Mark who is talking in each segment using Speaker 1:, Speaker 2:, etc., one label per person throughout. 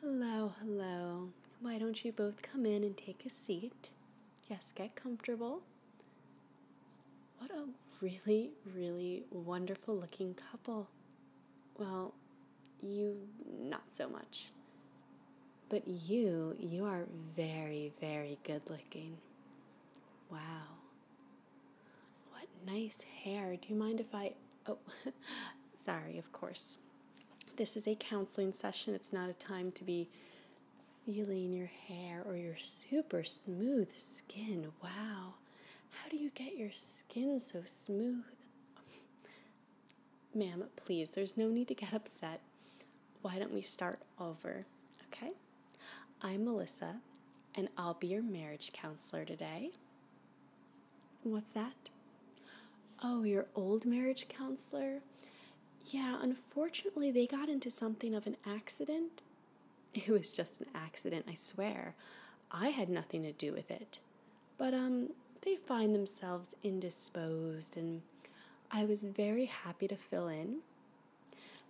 Speaker 1: Hello, hello. Why don't you both come in and take a seat? Yes, get comfortable. What a really, really wonderful looking couple. Well, you not so much. But you, you are very, very good looking. Wow. What nice hair. Do you mind if I oh, sorry, of course. This is a counseling session. It's not a time to be feeling your hair or your super smooth skin. Wow. How do you get your skin so smooth? Ma'am, please, there's no need to get upset. Why don't we start over? Okay? I'm Melissa, and I'll be your marriage counselor today. What's that? Oh, your old marriage counselor? Yeah, unfortunately, they got into something of an accident. It was just an accident, I swear. I had nothing to do with it. But, um, they find themselves indisposed, and I was very happy to fill in.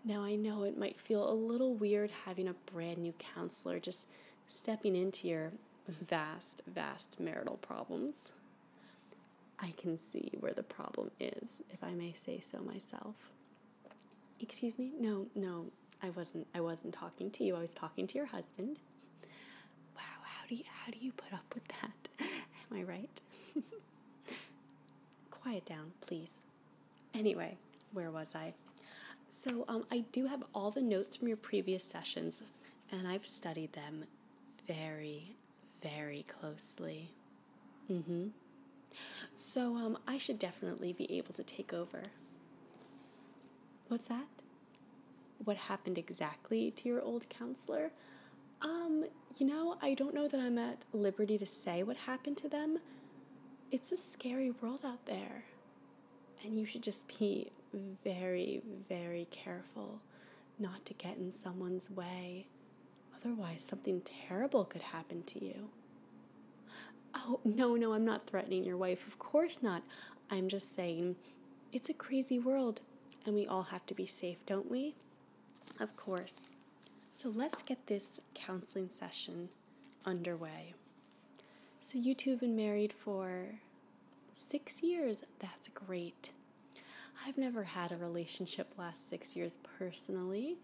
Speaker 1: Now, I know it might feel a little weird having a brand new counselor just stepping into your vast, vast marital problems, I can see where the problem is, if I may say so myself. Excuse me? No, no, I wasn't I wasn't talking to you. I was talking to your husband. Wow, how do you how do you put up with that? Am I right? Quiet down, please. Anyway, where was I? So um, I do have all the notes from your previous sessions and I've studied them very, very closely. Mm-hmm. So um, I should definitely be able to take over. What's that? What happened exactly to your old counselor? Um, you know, I don't know that I'm at liberty to say what happened to them. It's a scary world out there. And you should just be very, very careful not to get in someone's way. Otherwise, something terrible could happen to you. Oh, no, no, I'm not threatening your wife. Of course not. I'm just saying it's a crazy world and we all have to be safe, don't we? Of course. So let's get this counseling session underway. So, you two have been married for six years. That's great. I've never had a relationship last six years personally.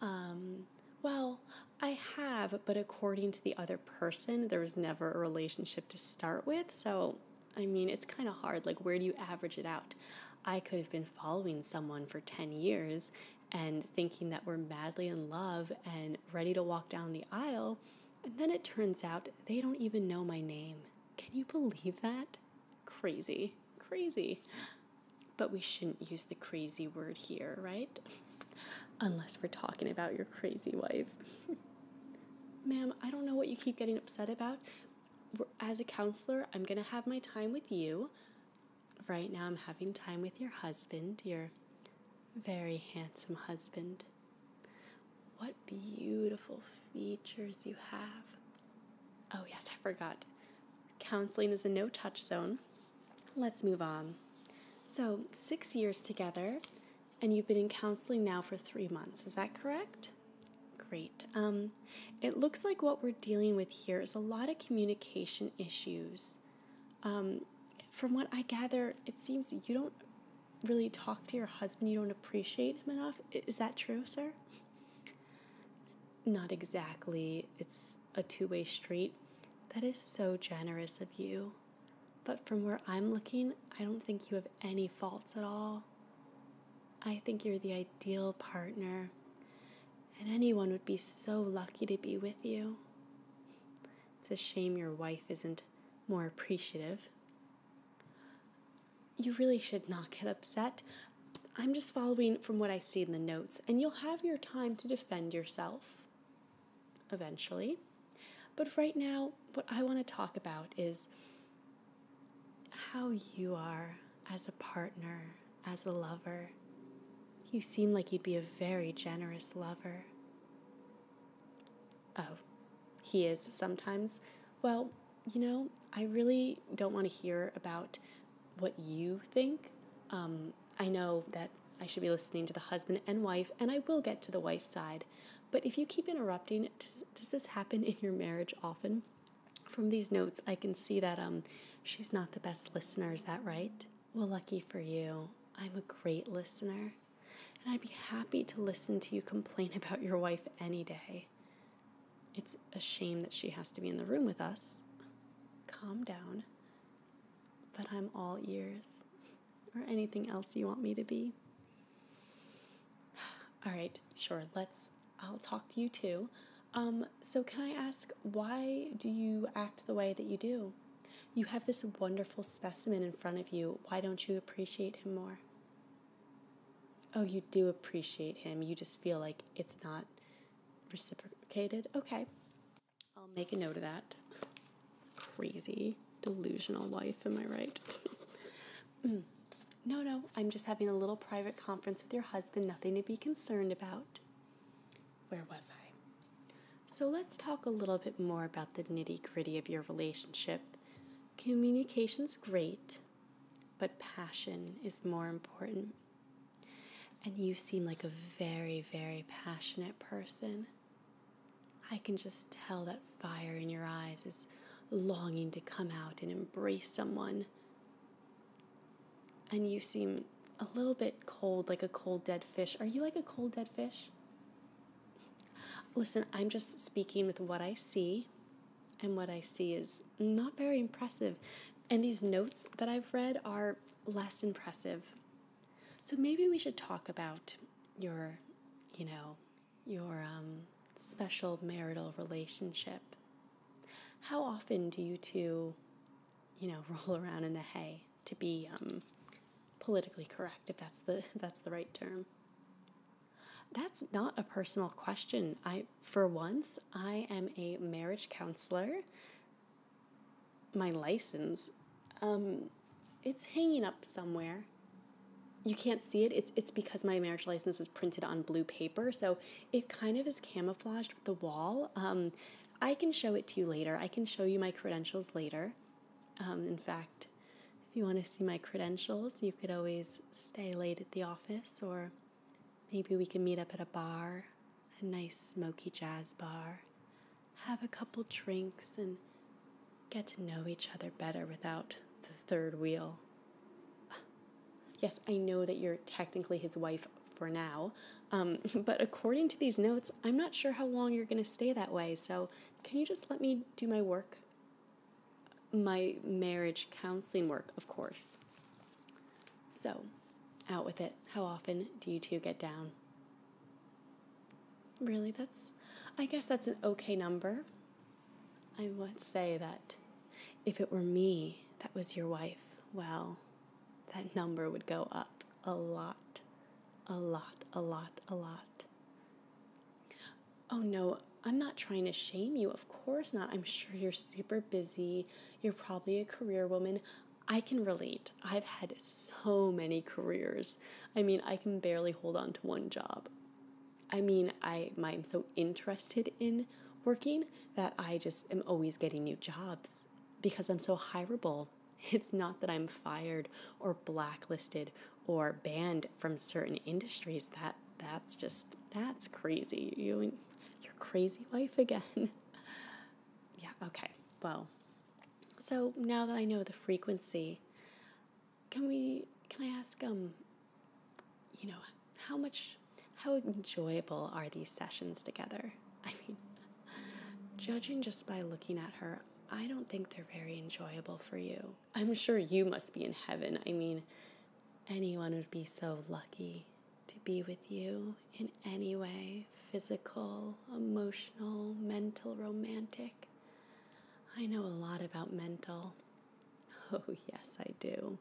Speaker 1: Um, well, I have, but according to the other person, there was never a relationship to start with. So, I mean, it's kind of hard. Like, where do you average it out? I could have been following someone for 10 years and thinking that we're madly in love and ready to walk down the aisle, and then it turns out they don't even know my name. Can you believe that? Crazy, crazy. But we shouldn't use the crazy word here, right? Unless we're talking about your crazy wife. Ma'am, I don't know what you keep getting upset about. As a counselor, I'm going to have my time with you. Right now, I'm having time with your husband, your very handsome husband. What beautiful features you have. Oh, yes, I forgot. Counseling is a no touch zone. Let's move on. So, six years together, and you've been in counseling now for three months. Is that correct? Great. Um, it looks like what we're dealing with here is a lot of communication issues. Um, from what I gather, it seems you don't really talk to your husband, you don't appreciate him enough. Is that true, sir? Not exactly. It's a two way street. That is so generous of you. But from where I'm looking, I don't think you have any faults at all. I think you're the ideal partner, and anyone would be so lucky to be with you. It's a shame your wife isn't more appreciative. You really should not get upset. I'm just following from what I see in the notes, and you'll have your time to defend yourself eventually. But right now, what I want to talk about is how you are as a partner, as a lover. You seem like you'd be a very generous lover oh, he is sometimes. Well, you know, I really don't want to hear about what you think. Um, I know that I should be listening to the husband and wife, and I will get to the wife's side. But if you keep interrupting, does, does this happen in your marriage often? From these notes, I can see that um, she's not the best listener, is that right? Well, lucky for you, I'm a great listener. And I'd be happy to listen to you complain about your wife any day. It's a shame that she has to be in the room with us. Calm down. But I'm all ears. Or anything else you want me to be. All right, sure. Let's I'll talk to you too. Um, so, can I ask why do you act the way that you do? You have this wonderful specimen in front of you. Why don't you appreciate him more? Oh, you do appreciate him. You just feel like it's not reciprocated. Okay. I'll make a note of that. Crazy, delusional wife. am I right? No, no, I'm just having a little private conference with your husband, nothing to be concerned about. Where was I? So let's talk a little bit more about the nitty gritty of your relationship. Communication's great, but passion is more important. And you seem like a very, very passionate person. I can just tell that fire in your eyes is longing to come out and embrace someone. And you seem a little bit cold, like a cold dead fish. Are you like a cold dead fish? Listen, I'm just speaking with what I see, and what I see is not very impressive. And these notes that I've read are less impressive. So maybe we should talk about your, you know, your um, special marital relationship. How often do you two, you know, roll around in the hay to be um, politically correct, if that's the that's the right term. That's not a personal question. I for once I am a marriage counselor. My license, um, it's hanging up somewhere. You can't see it. It's it's because my marriage license was printed on blue paper, so it kind of is camouflaged with the wall. Um, I can show it to you later. I can show you my credentials later. Um, in fact, if you want to see my credentials, you could always stay late at the office, or maybe we can meet up at a bar, a nice smoky jazz bar, have a couple drinks, and get to know each other better without the third wheel. Yes, I know that you're technically his wife for now, um, but according to these notes, I'm not sure how long you're going to stay that way, so can you just let me do my work? My marriage counseling work, of course. So, out with it. How often do you two get down? Really, that's, I guess that's an okay number. I would say that if it were me that was your wife, well, that number would go up a lot, a lot, a lot, a lot. Oh no, I'm not trying to shame you. Of course not. I'm sure you're super busy. You're probably a career woman. I can relate. I've had so many careers. I mean, I can barely hold on to one job. I mean, I am so interested in working that I just am always getting new jobs because I'm so hireable. It's not that I'm fired or blacklisted or banned from certain industries. That that's just that's crazy. You your crazy wife again. yeah, okay. Well, so now that I know the frequency, can we can I ask um you know, how much how enjoyable are these sessions together? I mean, judging just by looking at her, I don't think they're very enjoyable for you. I'm sure you must be in heaven. I mean, anyone would be so lucky to be with you in any way physical, emotional, mental, romantic. I know a lot about mental. Oh, yes, I do.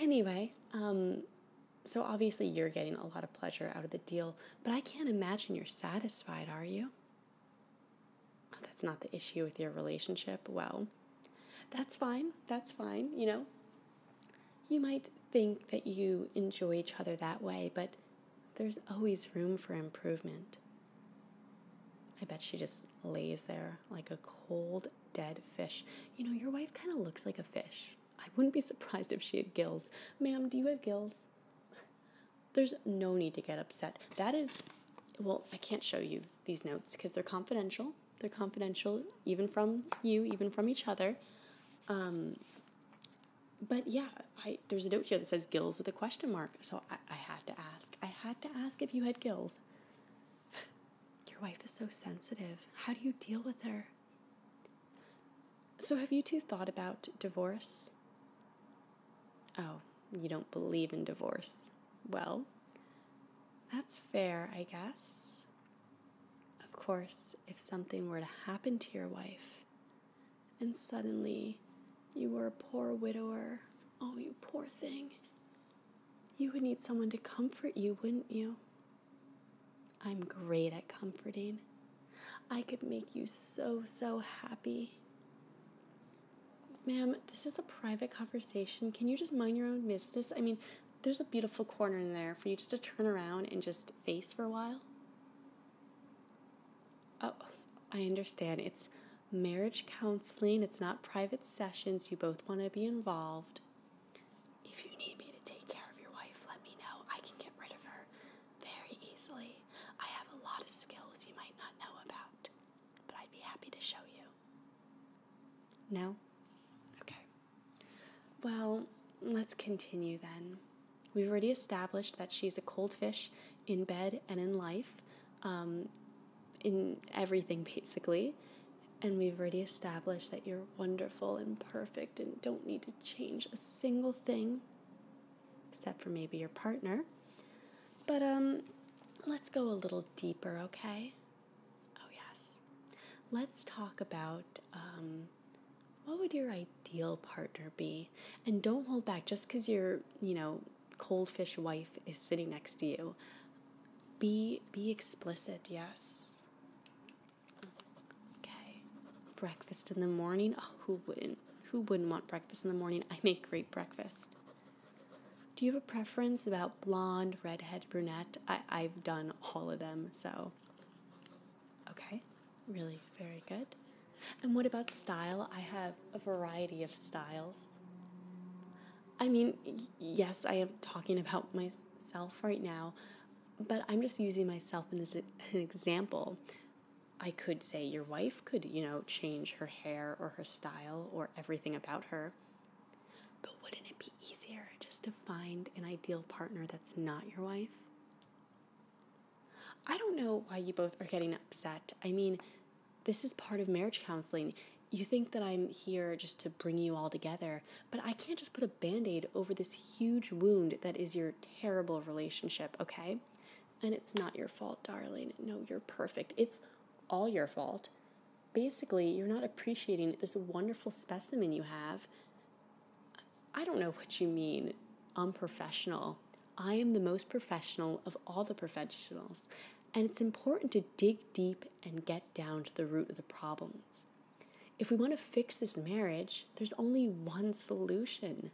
Speaker 1: Anyway, um, so obviously you're getting a lot of pleasure out of the deal, but I can't imagine you're satisfied, are you? that's not the issue with your relationship, well, that's fine. That's fine, you know. You might think that you enjoy each other that way, but there's always room for improvement. I bet she just lays there like a cold, dead fish. You know, your wife kind of looks like a fish. I wouldn't be surprised if she had gills. Ma'am, do you have gills? There's no need to get upset. That is, well, I can't show you these notes because they're confidential. They're confidential, even from you, even from each other. Um, but yeah, I, there's a note here that says gills with a question mark. So I, I had to ask. I had to ask if you had gills. Your wife is so sensitive. How do you deal with her? So, have you two thought about divorce? Oh, you don't believe in divorce. Well, that's fair, I guess. Of course, if something were to happen to your wife and suddenly you were a poor widower, oh, you poor thing, you would need someone to comfort you, wouldn't you? I'm great at comforting. I could make you so, so happy. Ma'am, this is a private conversation. Can you just mind your own business? I mean, there's a beautiful corner in there for you just to turn around and just face for a while. Oh, I understand. It's marriage counseling, it's not private sessions. You both want to be involved. If you need me to take care of your wife, let me know. I can get rid of her very easily. I have a lot of skills you might not know about, but I'd be happy to show you. No? Okay. Well, let's continue then. We've already established that she's a cold fish in bed and in life, um, in everything basically. And we've already established that you're wonderful and perfect and don't need to change a single thing except for maybe your partner. But um, let's go a little deeper, okay? Oh, yes. Let's talk about um, what would your ideal partner be? And don't hold back just because your, you know, cold fish wife is sitting next to you. Be, be explicit, yes breakfast in the morning. Oh, who wouldn't? Who wouldn't want breakfast in the morning? I make great breakfast. Do you have a preference about blonde, redhead, brunette? I, I've done all of them, so. Okay, really very good. And what about style? I have a variety of styles. I mean, yes, I am talking about myself right now, but I'm just using myself as an example I could say your wife could, you know, change her hair or her style or everything about her. But wouldn't it be easier just to find an ideal partner that's not your wife? I don't know why you both are getting upset. I mean, this is part of marriage counseling. You think that I'm here just to bring you all together, but I can't just put a band aid over this huge wound that is your terrible relationship, okay? And it's not your fault, darling. No, you're perfect. It's all your fault. Basically, you're not appreciating this wonderful specimen you have. I don't know what you mean, unprofessional. I am the most professional of all the professionals. And it's important to dig deep and get down to the root of the problems. If we want to fix this marriage, there's only one solution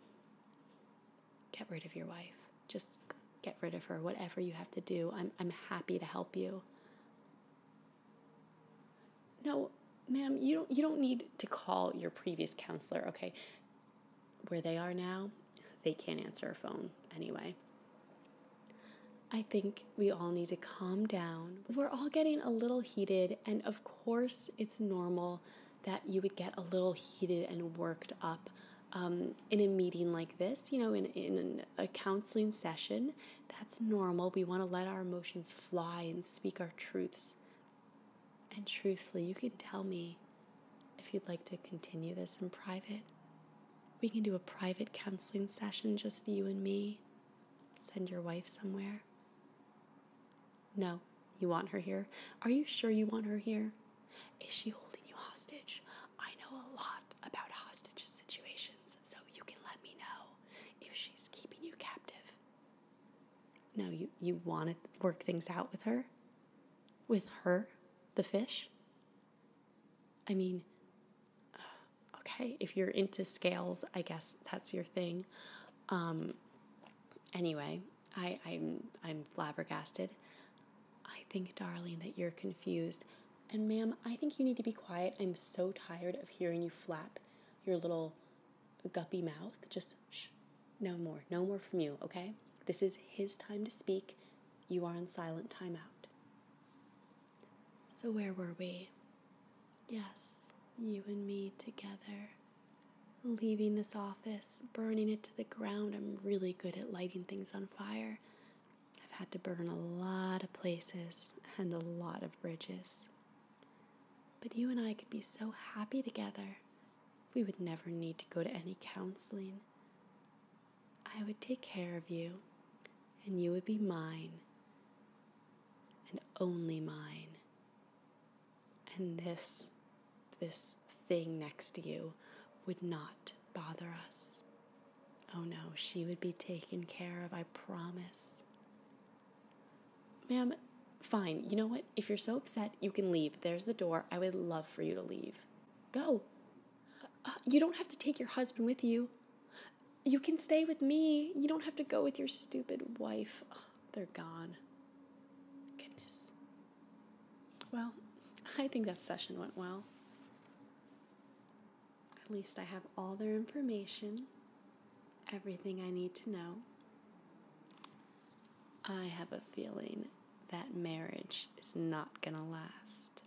Speaker 1: get rid of your wife. Just get rid of her, whatever you have to do. I'm, I'm happy to help you. No, ma'am, you don't, you don't need to call your previous counselor, okay? Where they are now, they can't answer a phone anyway. I think we all need to calm down. We're all getting a little heated, and of course, it's normal that you would get a little heated and worked up um, in a meeting like this, you know, in, in a counseling session. That's normal. We want to let our emotions fly and speak our truths. And truthfully, you can tell me if you'd like to continue this in private. We can do a private counseling session, just you and me. Send your wife somewhere. No, you want her here? Are you sure you want her here? Is she holding you hostage? I know a lot about hostage situations, so you can let me know if she's keeping you captive. No, you, you want to work things out with her? With her, the fish? I mean, okay, if you're into scales, I guess that's your thing. Um, anyway, I, I'm, I'm flabbergasted. I think, darling, that you're confused. And, ma'am, I think you need to be quiet. I'm so tired of hearing you flap your little guppy mouth. Just no more, no more from you, okay? This is his time to speak. You are in silent timeout. So, where were we? Yes, you and me together leaving this office, burning it to the ground. I'm really good at lighting things on fire. I've had to burn a lot of places and a lot of bridges. But you and I could be so happy together. We would never need to go to any counseling. I would take care of you, and you would be mine, and only mine and this this thing next to you would not bother us. Oh no, she would be taken care of, I promise. Ma'am, fine. You know what? If you're so upset, you can leave. There's the door. I would love for you to leave. Go. Uh, you don't have to take your husband with you. You can stay with me. You don't have to go with your stupid wife. they're gone. Goodness. Well, I think that session went well. At least I have all their information, everything I need to know. I have a feeling that marriage is not going to last.